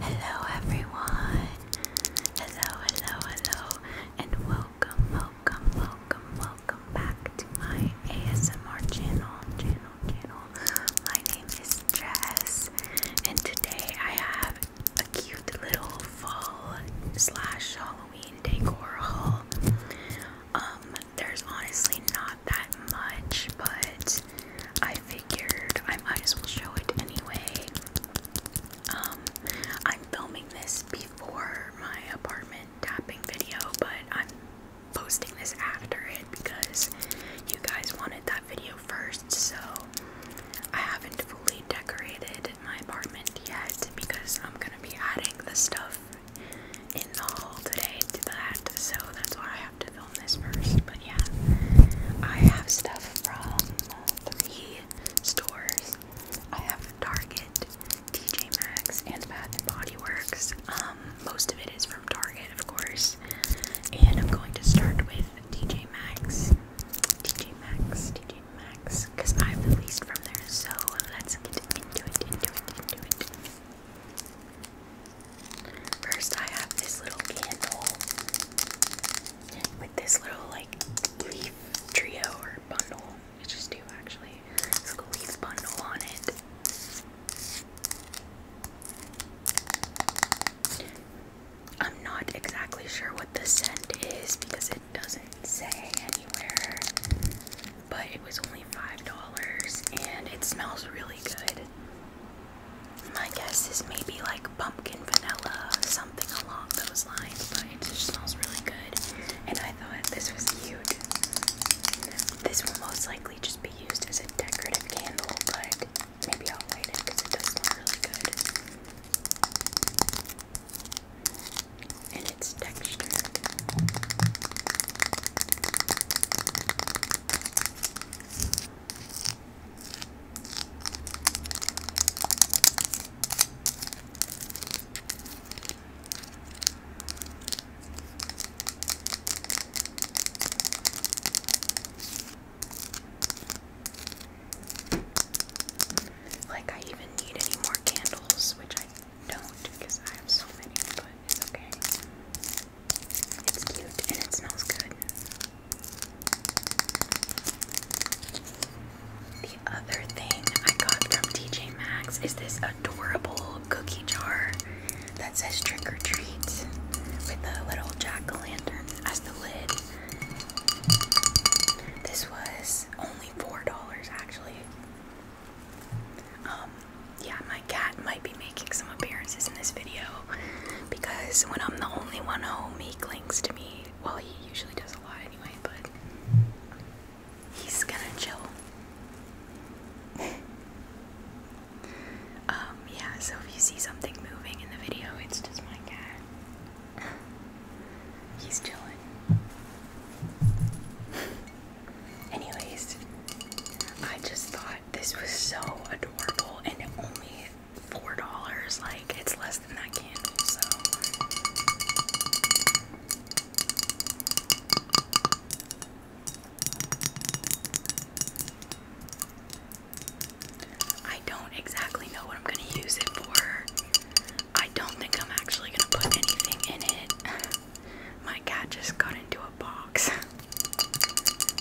Hello everyone. Hello, hello, hello, and welcome, welcome, welcome, welcome back to my ASMR channel, channel, channel. My name is Jess, and today I have a cute little fall slash Halloween decor haul. Um, there's honestly not that much, but I figured I might as well show it anyway. Um, I'm filming this before my apartment tapping video, but I'm posting this after it because you guys wanted that video first, so I haven't fully decorated my apartment yet because I'm gonna be adding the stuff in the hall today to that, so that's why I have to film this first. But yeah, I have stuff from three stores. I have Target, TJ Maxx, and Bath and Body Works. Um, most of it is from Target, of course. And I'm going to start with TJ Maxx. TJ Maxx, TJ Maxx, because I have the least from there. So let's get into it, into it, into it. First, I have this little candle with this little like leaf trio or bundle. It's just two actually. It's a leaf bundle on it. I'm not exactly sure what the scent is because it doesn't say anywhere but it was only $5 and it smells really good. My guess is maybe like pumpkin vanilla, something along those lines, but it just smells really good. And I thought this was cute. This will most likely just be used as a decorative candle, but maybe I'll light it because it does smell really good. And it's textured. Like, I even need any more candles, which I don't because I have so many, but it's okay. It's cute and it smells good. The other thing I got from TJ Maxx is this adorable cookie jar that says trick or treat with a little jack o' lantern as the lid. This was only $4 actually. Um, yeah, my cat might be making some appearances in this video because when I'm the only one home, he clings to me. Well, he usually does a lot anyway, but he's gonna chill. Um, yeah, so if you see something moving in the video, it's just my cat. he's chilling. Anyways, I just thought this was so adorable and only four dollars, like it's less than that candle, so I don't exactly know what I'm gonna use it for. I don't think I'm actually gonna put anything in it. My cat just got into a box.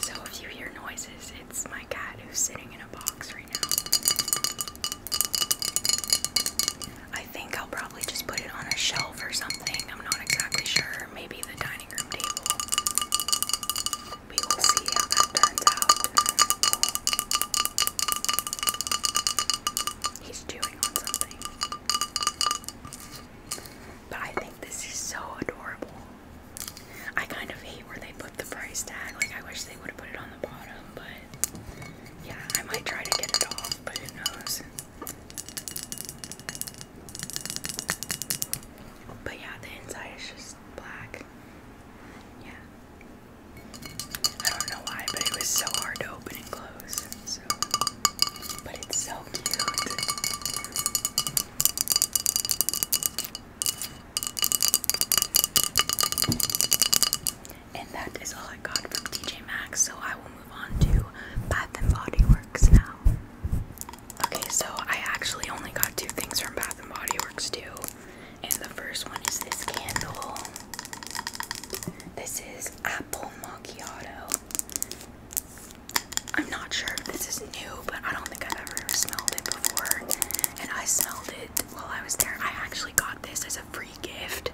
so if you hear noises, it's my cat who's sitting in a box right now. I think I'll probably just put it on a shelf or something. I'm not exactly sure. Maybe the dining room table. We will see how that turns out. He's chewing on something. But I think this is so adorable. I kind of hate where they put the price tag. Like I wish they would have put it on the bottom, but yeah, I might try to get it off, but who knows. But yeah, the inside is just black. Yeah. I don't know why, but it was so hard to open and close but it's so cute. And that is all I got from TJ Maxx, so I will move on to Bath and Body Works now. Okay, so I actually only got two things from Bath and Body Works too. And the first one is this candle. This is apple macchiato. I'm not sure if this is new, but I don't think I've ever smelled it before. And I smelled it while I was there. I actually got this as a free gift.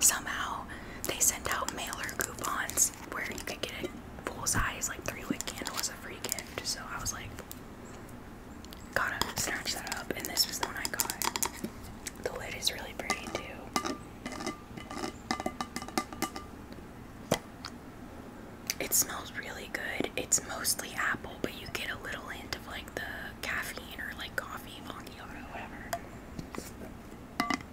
Somehow they sent out mailer coupons where you can get a full size, like three wick candle as a free gift. So I was like, gotta snatch that up. And this was the one I got. The lid is really pretty too. It smells really good. It's mostly apple, but you get a little hint of like the caffeine or like coffee, or whatever.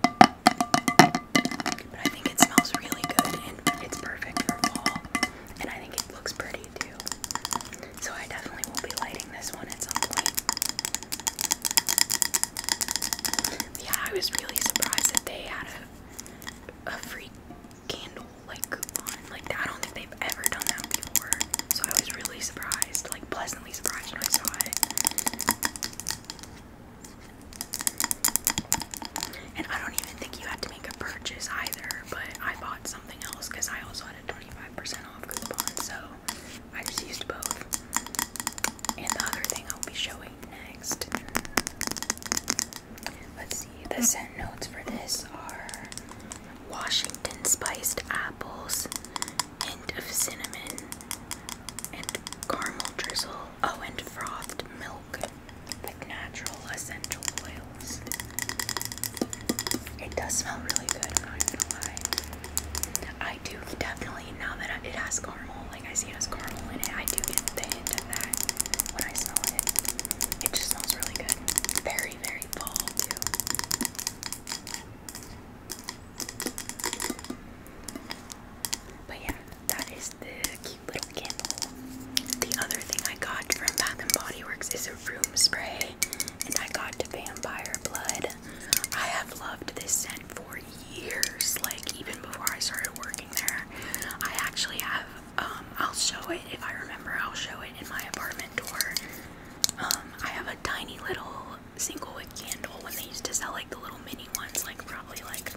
But I think it smells really good and it's perfect for fall. And I think it looks pretty too. So I definitely will be lighting this one at some point. Yeah, I was really surprised that they had a, a free candle like coupon. Like I don't think they've ever done that before. So I was really surprised, like pleasantly surprised when I saw it. And I don't even think you had to make a purchase either, but I bought something else because I also had a 25% off coupon, so I just used both. And the other thing I'll be showing next. Let's see, the scent notes for this are Washington spiced apples, hint of cinnamon, and caramel drizzle. Oh, and frothed milk, like natural essential oils. It does smell really good, I do definitely now that it has caramel, like I see it has caramel in it, I do get the hint of that when I smell it. It just smells really good. Very, very bold too. But yeah, that is the cute little candle. The other thing I got from Bath and Body Works is a room spray, and I got Vampire Blood. I have loved this scent for years, like even before I started working there. I actually have, um, I'll show it if I remember, I'll show it in my apartment door. Um, I have a tiny little single wick candle when they used to sell like the little mini ones, like probably like,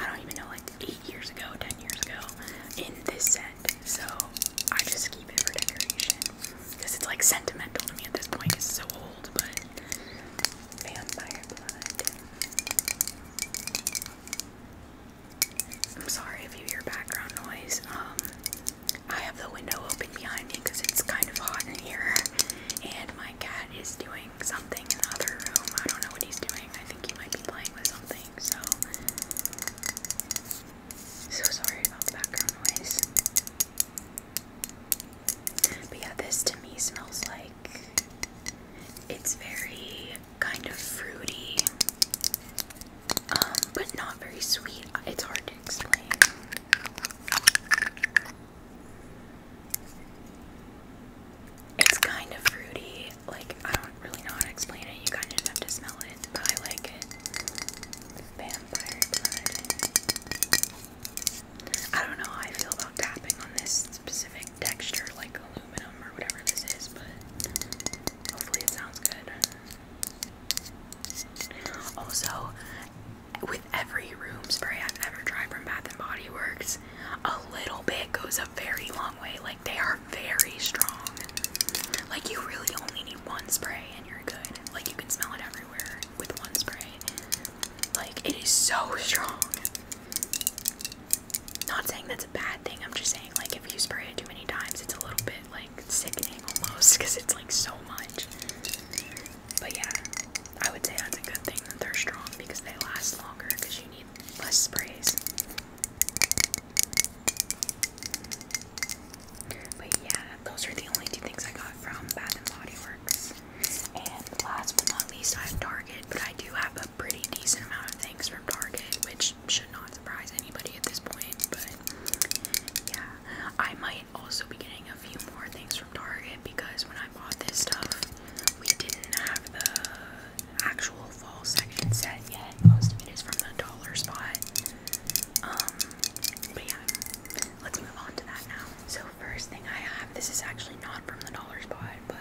I don't even know, like eight years ago, ten years ago, in this set. So I just keep it for decoration because it's like sentimental to me at this point. It's so old, but I'm sorry if you hear background noise. Um, I have the window open behind me because it's kind of hot here, and my cat is doing something in the room. I don't know what he's doing. I think he might be playing with something. So, so sorry about the background noise. But yeah, this to me smells like it's very kind of fruity, um, but not very sweet. It's hard to explain. It's kind of fruity. Like I don't really know how to explain it. You kind of have to smell it, but I like it. I don't know how I feel about tapping on this specific texture, like aluminum or whatever this is, but hopefully it sounds good. Also, with every room spray I've ever tried from Bath & Body Works, a little bit goes a very long way. Like, they are very strong. Like, you really only need one spray and you're good. Like, you can smell it everywhere with one spray. Like, it is so strong. Not saying that's a bad thing, I'm just saying, like, if you spray it too many times, it's a little bit, like, sickening almost because it's, like, so much. But yeah, I would say that's a good thing that they're strong because they last longer because you need less sprays. But yeah, those are the only two things I got from Bath and Body Works. And last but not least, I have Target, but I do have a pretty decent amount of things from Target, which should not surprise anybody at this point. But yeah, I might also be getting a few more things from Target because when I bought this stuff, we didn't have the actual fall section set yet. Most of it is from the dollar spot. Um, but yeah, let's move on to that now. So first thing I have, this is actually not from the dollar spot, but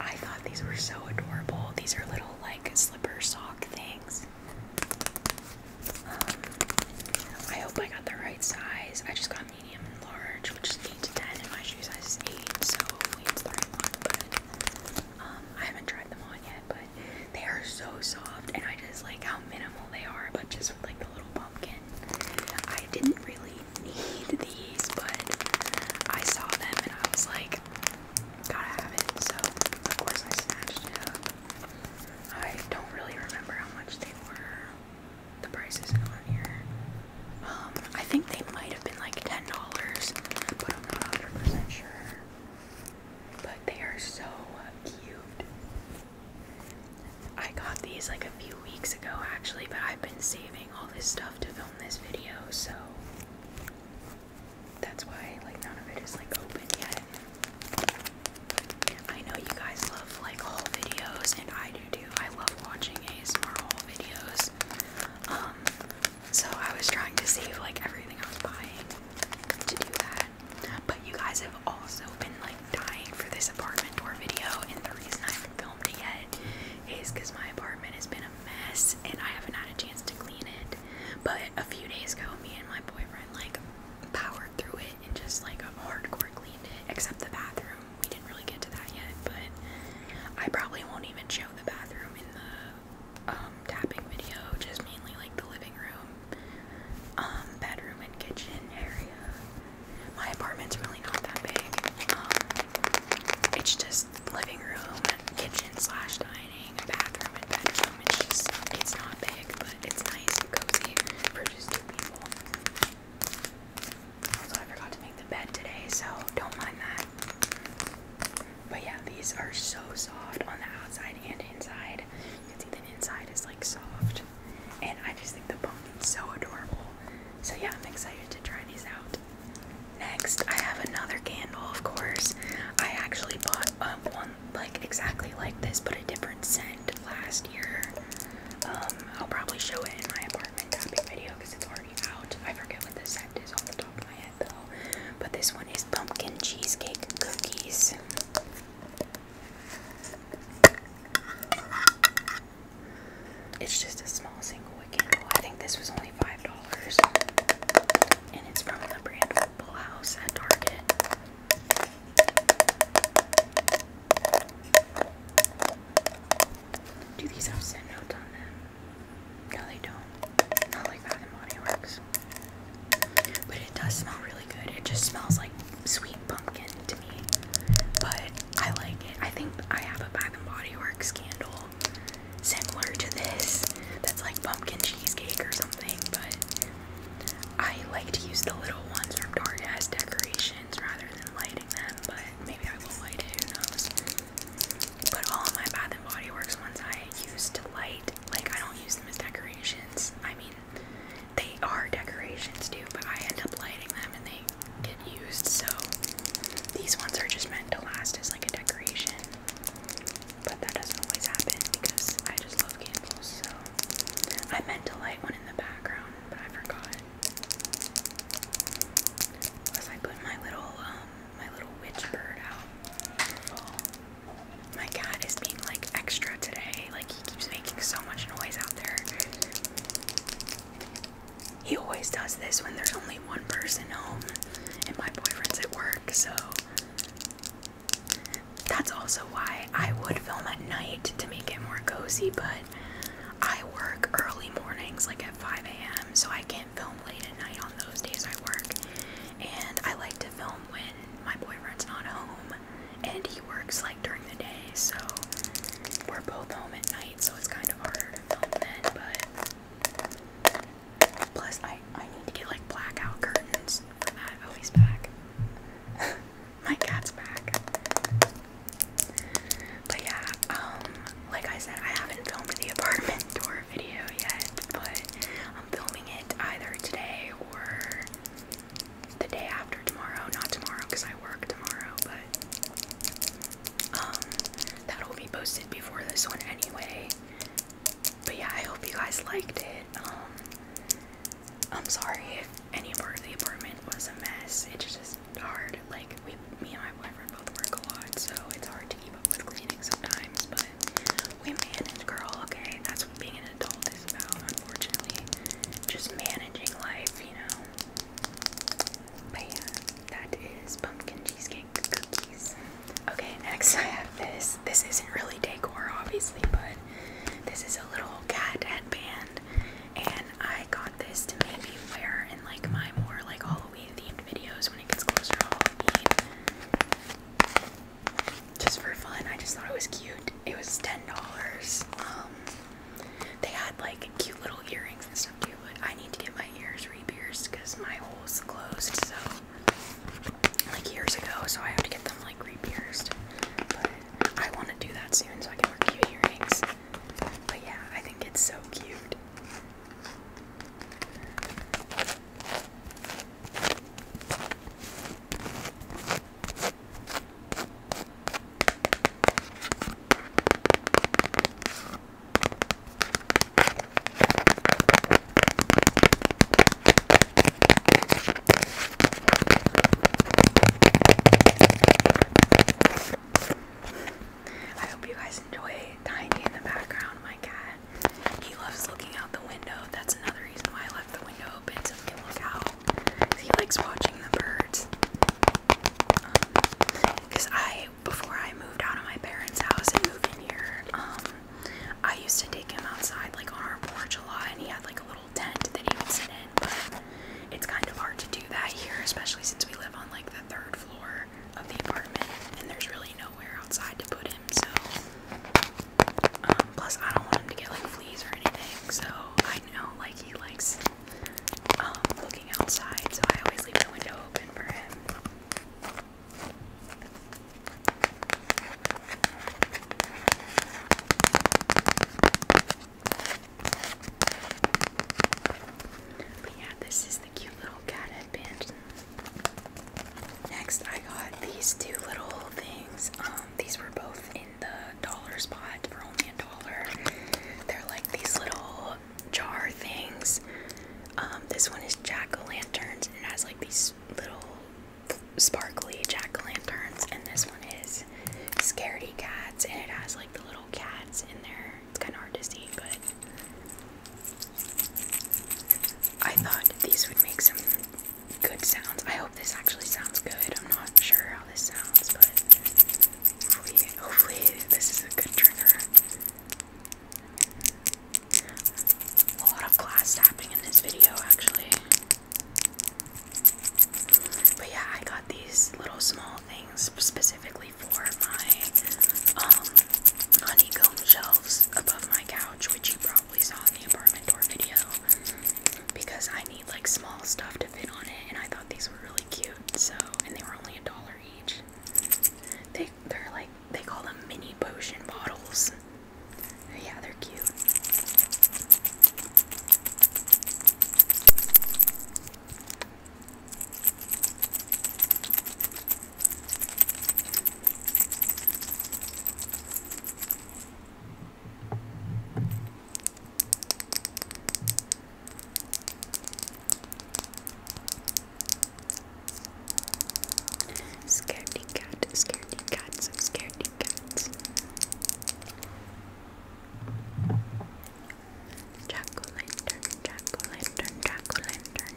I thought these were so adorable. These are little like slipper sock things. Um, I hope I got the right size. I just got medium and large, which is 8 to 10, and my shoe size is 8, so hopefully it's the one. But um, I haven't tried them on yet, but they are so soft, and I just like how minimal they are, but just with like the little pumpkin. I didn't really need these, but I saw them and I was like, gotta have it. So of course I snatched it I don't really remember how much they were. The price isn't on here. Um, I think they might have been like ten dollars, but I'm not hundred percent sure. But they are so cute. I got these like a few weeks ago actually, but I've been saving all this stuff to film this video, so that's why like none of it is like open yet. I know you guys love like haul videos and I do too. I love watching ASMR haul videos. Um so I was trying to save like everything I was buying to do that. But you guys have also been like dying for this apartment tour video, and the reason I haven't filmed it yet is because my apartment has been a mess and I haven't had a chance to clean it. But a few days ago, me and my boyfriend like powered through it and just like hardcore cleaned it, except the bathroom. We didn't really get to that yet, but I probably won't even show the bathroom in the um, tapping video, just mainly like the living room, um, bedroom, and kitchen area. My apartment's really not that big. Um, it's just living room, kitchen slash dining, bathroom, and bedroom. It's just it's not big, but it's nice and cozy for just two people. Also, I forgot to make the bed today, so don't mind that. But yeah, these are so soft on the outside and inside. You can see the inside is like soft. And I just think the pumpkin's so adorable. So yeah, I'm excited to try these out. Next, I have another candle, of course. I actually bought one like exactly like this, but a different scent last year. Um, I'll probably show it in my apartment tapping video because it's already out. I forget what the scent is off the top of my head though. But this one is pumpkin cheesecake cookies. It's just a small single wick candle. I think this was only five dollars, and it's from the brand Full House at Target. Do these have scent notes on them? No, they don't. Not like Bath and Body Works. But it does smell really good. It just smells like sweet pumpkin but I like it. I think I have a Bath and Body Works candle similar to this that's like pumpkin cheesecake or something, but I like to use the little ones from Target as decorations rather than lighting them, but maybe I will light it, who knows. But all of my Bath and Body Works ones I use to light, like I don't use them as decorations. I mean, they are decorations too, but I end up lighting them and they used, so these ones are just meant to last as like a decoration. But that doesn't always happen because I just love candles, so I meant to light one in the background, but I forgot. Plus, I put my little um, my little witch bird out My cat is being like extra today. Like he keeps making so much noise out there. He always does this when there's only one person home and my boyfriend's at work, so that's also why I would film at night to make it more cozy, but I work early mornings like at 5 a.m. so I can't film late at night on those days I work. And I like to film when my boyfriend's not home and he works like during the day, so we're both home at night so it's kind of hard. to film then, but plus I, I need to get like blackout curtains for that. Oh, My cat's back. But yeah, um, like I said, I haven't filmed the apartment tour video yet, but I'm filming it either today or the day after tomorrow. Not tomorrow because I work tomorrow, but um, that'll be posted before this one anyway. But yeah, I hope you guys liked it. Um, I'm sorry if any part of the apartment was a mess. It's just hard. Like we, me and my boyfriend both work a lot, so it's hard to keep up with cleaning sometimes. But we manage, girl. Okay, that's what being an adult is about. Unfortunately, just managing life, you know. But yeah, that is pumpkin cheesecake cookies. Okay, next I have this. This isn't really decor, obviously, but this is a little cat headband, and I got this to maybe wear in like my more like Halloween themed videos when it gets closer to Halloween. Just for fun, I just thought it was cute. It was ten dollars. Um, they had like cute little earrings and stuff too, but I need to get my ears re because my hole's closed, so like years ago, so I have to get them like re But I want to do that soon so I can wear cute earrings. But yeah, I think it's so cute. I hope you guys enjoy Tiny in the background, my cat. He loves looking out the window. That's another reason why I left the window open so he can look out. He likes watching the birds. Because I, before I moved out of my parents' house and moved in here, um, I used to take him outside, like on our porch a lot, and he had like a little tent that he would sit in. But it's kind of hard to do that here, especially since we live on like the third floor of the apartment, and there's really nowhere outside to put him. So, um, plus I don't want him to get like fleas or anything. So I know like he likes um, looking outside, so I always leave the window open for him. But yeah, this is the cute little cat headband. Next, I got these two little things. Um, these were both in the dollar spot for only a dollar. They're like these little jar things. Um, this one is jack o' lanterns and it has like these little sparkly jack o' lanterns. And this one is scaredy cats and it has like the little cats in there. It's kind of hard to see, but I thought these would make some good sounds. I hope this actually sounds good. I'm not sure how this sounds, but Hopefully, this is a good trigger. A lot of glass tapping in this video, actually. But yeah, I got these little small things specifically for my um, honeycomb shelves above my couch, which you probably saw in the apartment door video. Because I need like small stuff to fit on it, and I thought these were really cute. So, and they were only a dollar each. They they're like they call them mini potion bottles. Yeah, they're cute. Scaredy cat, scaredy cats, scaredy cat. Jack o' lantern, jack o' lantern, jack o' lantern.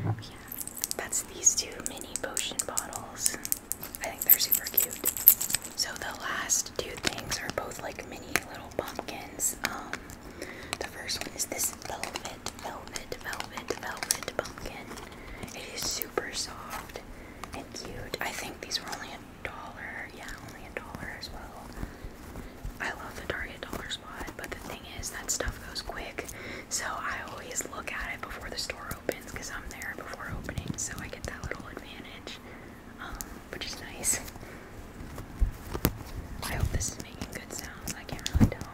Yeah, that's these two mini potion bottles. I think they're super cute. So the last two things are both like mini little pumpkins. Um, the first one is this velvet, velvet, velvet, velvet pumpkin. It is super soft and cute. I think these were only a dollar. Yeah, only a dollar as well. I love the Target dollar spot, but the thing is that stuff goes quick, so I always look at it before the store opens because I'm there before opening, so I get that little advantage, um, which is nice. I hope this is making good sounds. I can't really tell.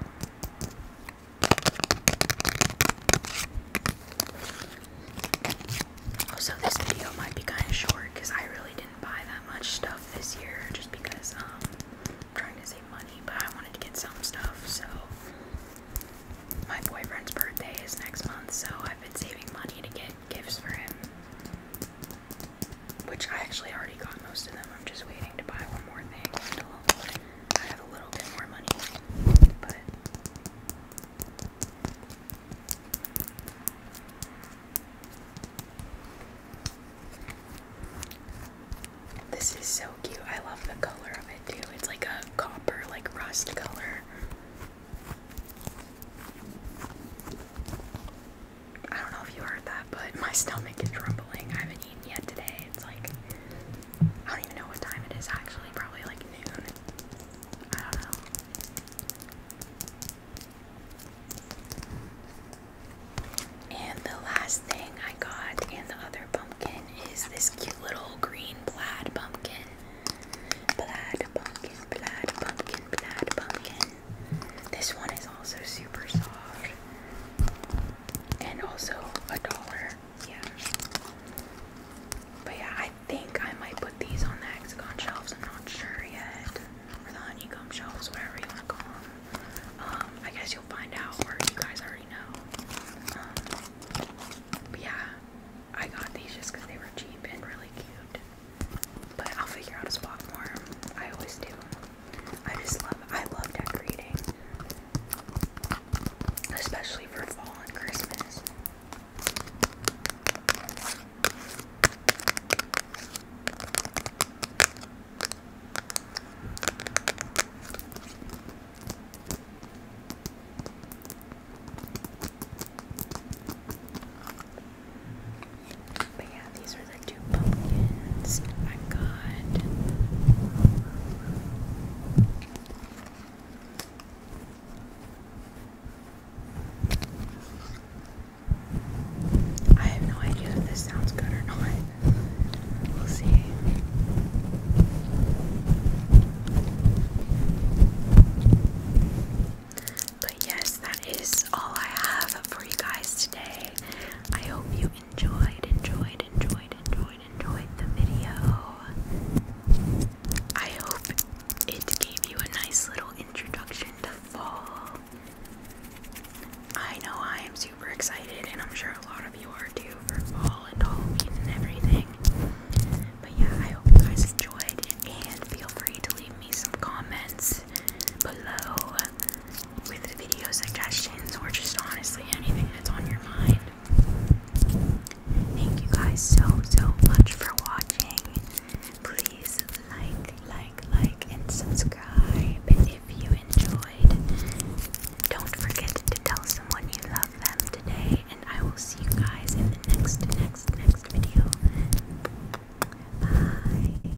Also, this video might be kind of short because I really didn't buy that much stuff this year just because um, trying to save money, but I wanted to get some stuff. So, my boyfriend's birthday is next month, so I've been saving money to get gifts for him. Which I actually already got most of them. I'm just waiting to buy one more thing until I have a little bit more money. But this is so cute. I love the color of it too. It's like a copper, like rust color. I don't know if you heard that, but my stomach is rumbling. I haven't eaten yet today. It's like I don't even know what time it is actually, probably like noon. I don't know. And the last thing I got in the other pumpkin is this cute little green plaid pumpkin. Plaid pumpkin, plaid pumpkin, plaid pumpkin. This one is also super soft. And also a dollar. Yeah. But yeah, I think I might put these on the hexagon shelves. I'm not sure yet. Or the honeycomb shelves, whatever you want to call them. Um, I guess you'll find out, or you guys already know. Um, but yeah, I got these just because they were cheap and really cute. But I'll figure out a spot for them. I always do. I just love I love decorating. Especially for fall and Christmas. But yeah, these are the two pumpkins I got. I have no idea if this sounds good or not. We'll see. But yes, that is all I have for you guys today. I hope you enjoyed, enjoyed, enjoyed, enjoyed, enjoyed the video. I hope it gave you a nice little introduction to fall. I know I am super excited, and I'm sure a lot of you are too for fall and Halloween and everything. But yeah, I hope you guys enjoyed, and feel free to leave me some comments below with the video suggestions or just honestly anything that's on your mind. Thank you guys so, so much for watching. Please like, like, like, and subscribe if you enjoyed. Don't forget to tell someone you love them today, and I will see you guys in the next, next, next video. Bye.